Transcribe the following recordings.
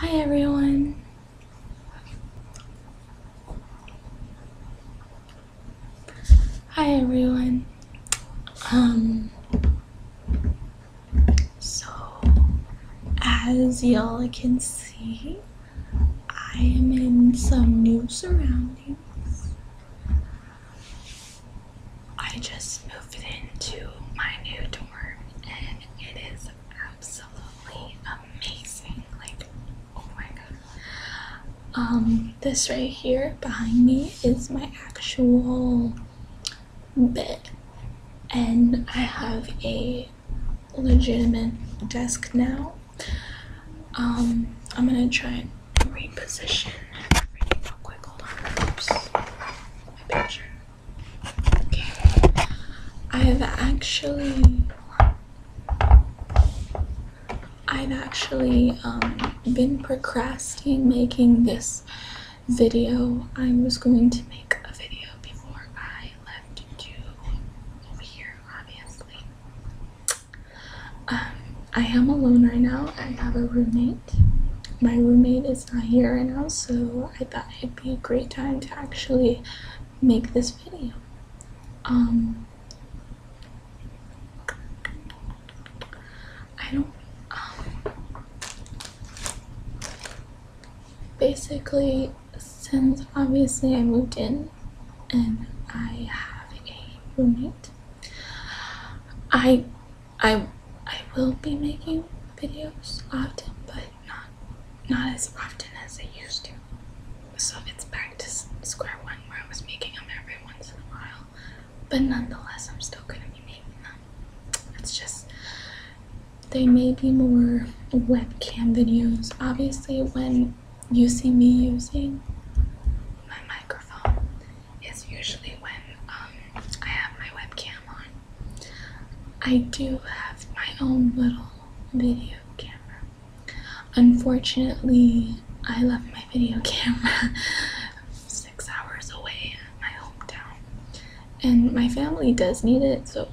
Hi everyone. Hi everyone. Um so as y'all can see, I am in some new surroundings. I just moved into my new dorm and it is absolutely amazing. Like, oh my god. Um, this right here behind me is my actual bed, and I have a legitimate desk now. Um, I'm gonna try and reposition Okay. I've actually I've actually um, been procrastinating making this video. I was going to make a video before I left to over here, obviously. Um, I am alone right now. I have a roommate my roommate is not here right now, so I thought it'd be a great time to actually make this video. Um, I don't. Um, basically, since obviously I moved in and I have a roommate, I I I will be making videos often, but not not as often as I used to. So it's back to square one where I was making them every once in a while. But nonetheless, I'm still gonna be making them. It's just they may be more webcam videos. Obviously, when you see me using my microphone, is usually when um, I have my webcam on. I do have my own little video camera. Unfortunately, I left my video camera six hours away in my hometown, and my family does need it, so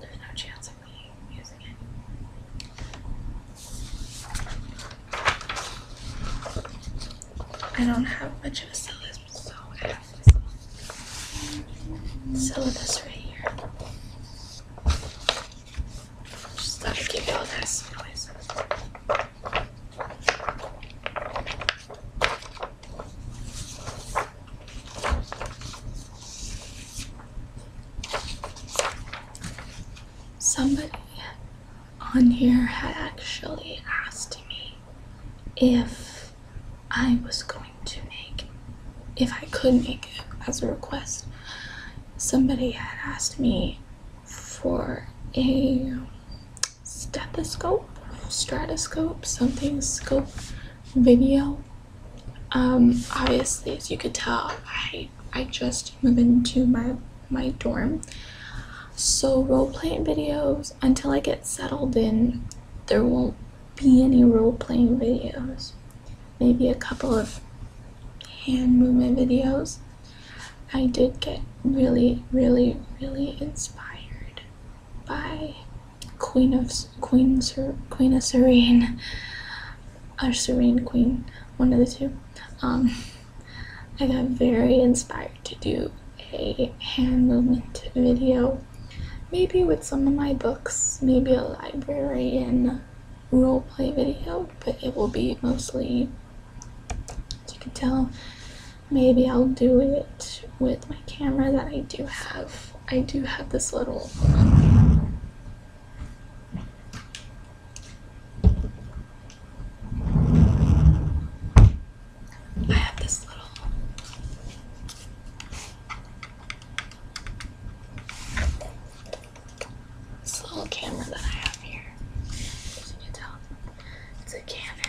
there's no chance of me using it. I don't have much of a syllabus, so I have this syllabus right here. Just thought you all that noise. Somebody on here had actually asked me if I was going to make, if I could make it as a request. Somebody had asked me for a stethoscope, stratoscope, something scope video. Um, obviously, as you could tell, I I just move into my my dorm. So role playing videos until I get settled in there won't be any role playing videos. Maybe a couple of hand movement videos. I did get really really really inspired by Queen of Queen Queen of Serene or Serene Queen, one of the two. Um, I got very inspired to do a hand movement video, maybe with some of my books, maybe a librarian and roleplay video, but it will be mostly, as you can tell, maybe I'll do it with my camera that I do have. I do have this little I have this little little camera that I have here. As you can tell, it's a Canon.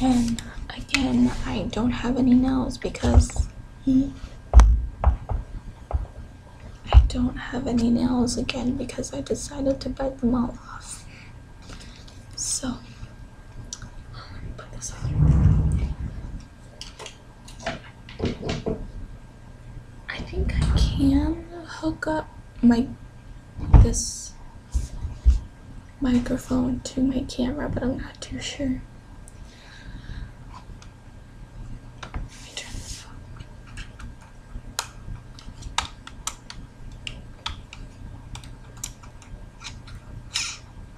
And again, I don't have any nails because I don't have any nails again because I decided to bite them all off. So I think I can hook up my this microphone to my camera, but I'm not too sure.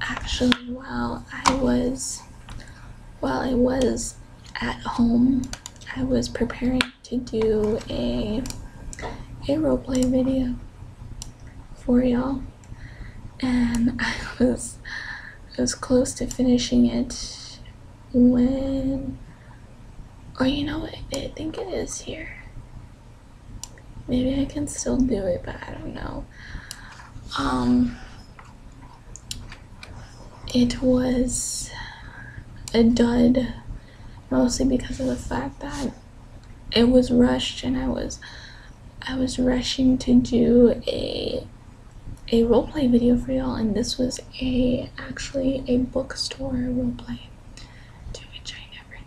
Actually, while I was while I was at home, I was preparing to do a a roleplay video for y'all, and I was I was close to finishing it when, oh, you know, what? I think it is here. Maybe I can still do it, but I don't know. Um, it was a dud, mostly because of the fact that it was rushed and I was I was rushing to do a a roleplay video for y'all and this was a actually a bookstore roleplay to which I never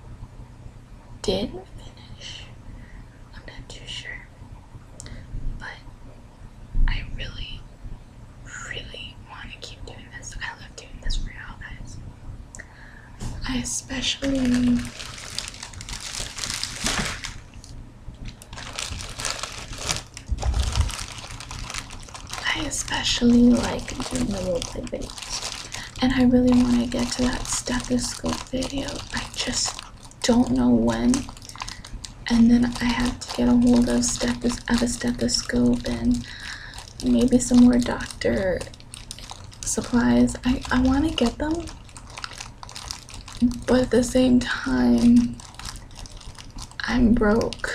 did finish. I'm not too sure. But I really, really want to keep doing this. I love doing this for you guys. I especially. I especially like doing the roleplay videos and I really want to get to that stethoscope video. I just don't know when. And then I have to get a hold of, stethos of a stethoscope and maybe some more doctor supplies. I, I want to get them, but at the same time, I'm broke.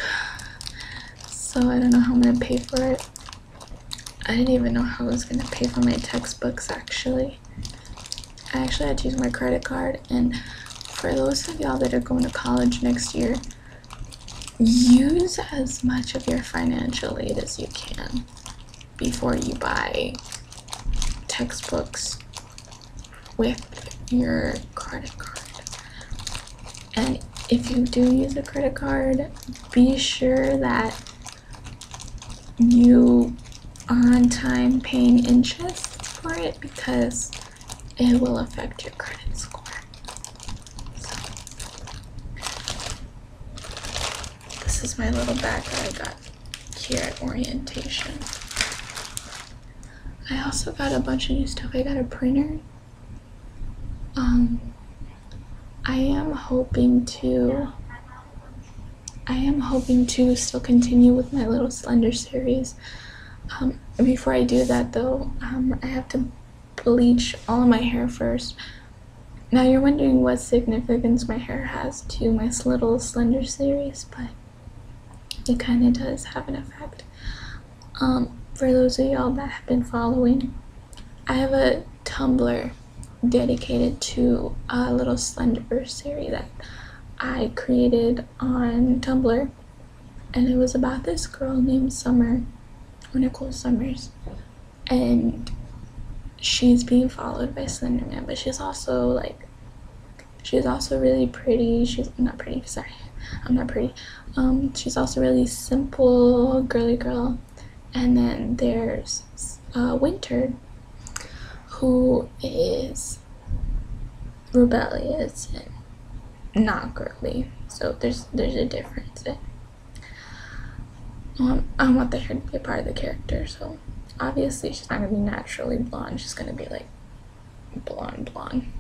So I don't know how I'm going to pay for it. I didn't even know how I was gonna pay for my textbooks actually. I actually had to use my credit card and for those of y'all that are going to college next year, use as much of your financial aid as you can before you buy textbooks with your credit card. And if you do use a credit card, be sure that you on time paying interest for it because it will affect your credit score. this is my little bag that I got here at orientation. I also got a bunch of new stuff. I got a printer um, I am hoping to. I am hoping to still continue with my little slender series. Um, before I do that, though, um, I have to bleach all of my hair first. Now you're wondering what significance my hair has to my little slender series, but it kind of does have an effect. Um, for those of y'all that have been following, I have a Tumblr dedicated to a little slender series that I created on Tumblr, and it was about this girl named Summer, or Nicole Summers, and she's being followed by Slenderman, but she's also like, she's also really pretty. She's not pretty, sorry, I'm not pretty. Um, she's also really simple, girly girl. And then there's uh, Winter, who is rebellious and not girly. So there's there's a difference. Um, I want the hair to be a part of the character, so obviously she's not gonna be naturally blonde. She's gonna be like blonde, blonde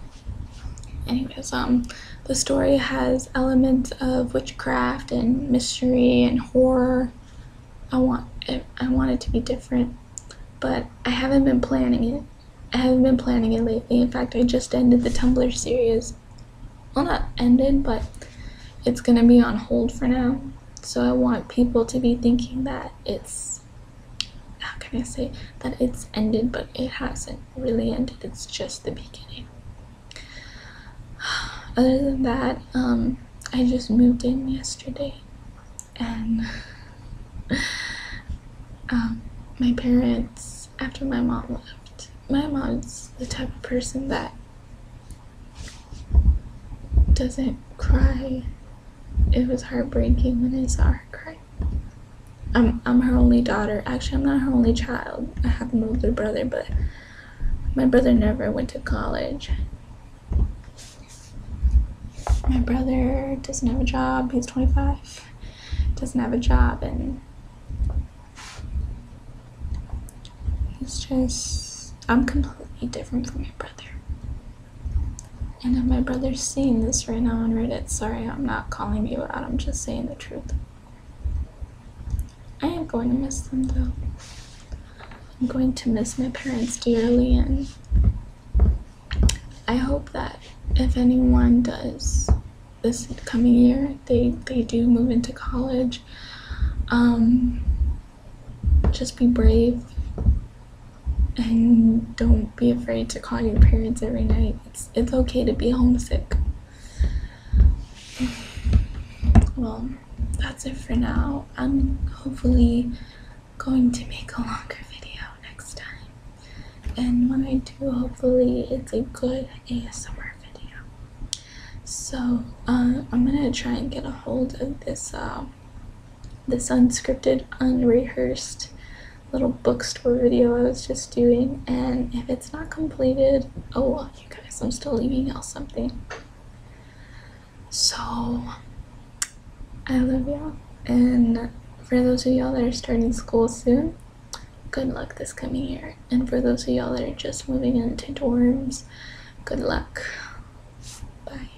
anyways, um, the story has elements of witchcraft and mystery and horror. I want I want it to be different, but I haven't been planning it. I haven't been planning it lately. In fact, I just ended the Tumblr series. Well, not ended, but it's gonna be on hold for now. So I want people to be thinking that it's how can I say that it's ended, but it hasn't really ended, it's just the beginning. Other than that, um, I just moved in yesterday and um, my parents, after my mom left, my mom's the type of person that doesn't cry. It was heartbreaking when I saw her cry. I'm I'm her only daughter. Actually, I'm not her only child. I have an older brother, but my brother never went to college. My brother doesn't have a job. He's 25. Doesn't have a job, and he's just I'm completely different from my brother. I know my brother's seeing this right now on Reddit. Sorry, I'm not calling you out. I'm just saying the truth. I am going to miss them though. I'm going to miss my parents dearly, and I hope that if anyone does this coming year, they they do move into college. Um, just be brave and don't be afraid to call your parents every night. It's it's okay to be homesick. Well, that's it for now. I'm hopefully going to make a longer video next time. And when I do, hopefully it's a good ASMR video. So uh, I'm gonna try and get a hold of this uh, this unscripted, unrehearsed little bookstore video I was just doing, and if it's not completed, oh you guys, I'm still leaving you something. So, I love y'all, and for those of y'all that are starting school soon, good luck this coming year. And for those of y'all that are just moving into dorms, good luck. Bye.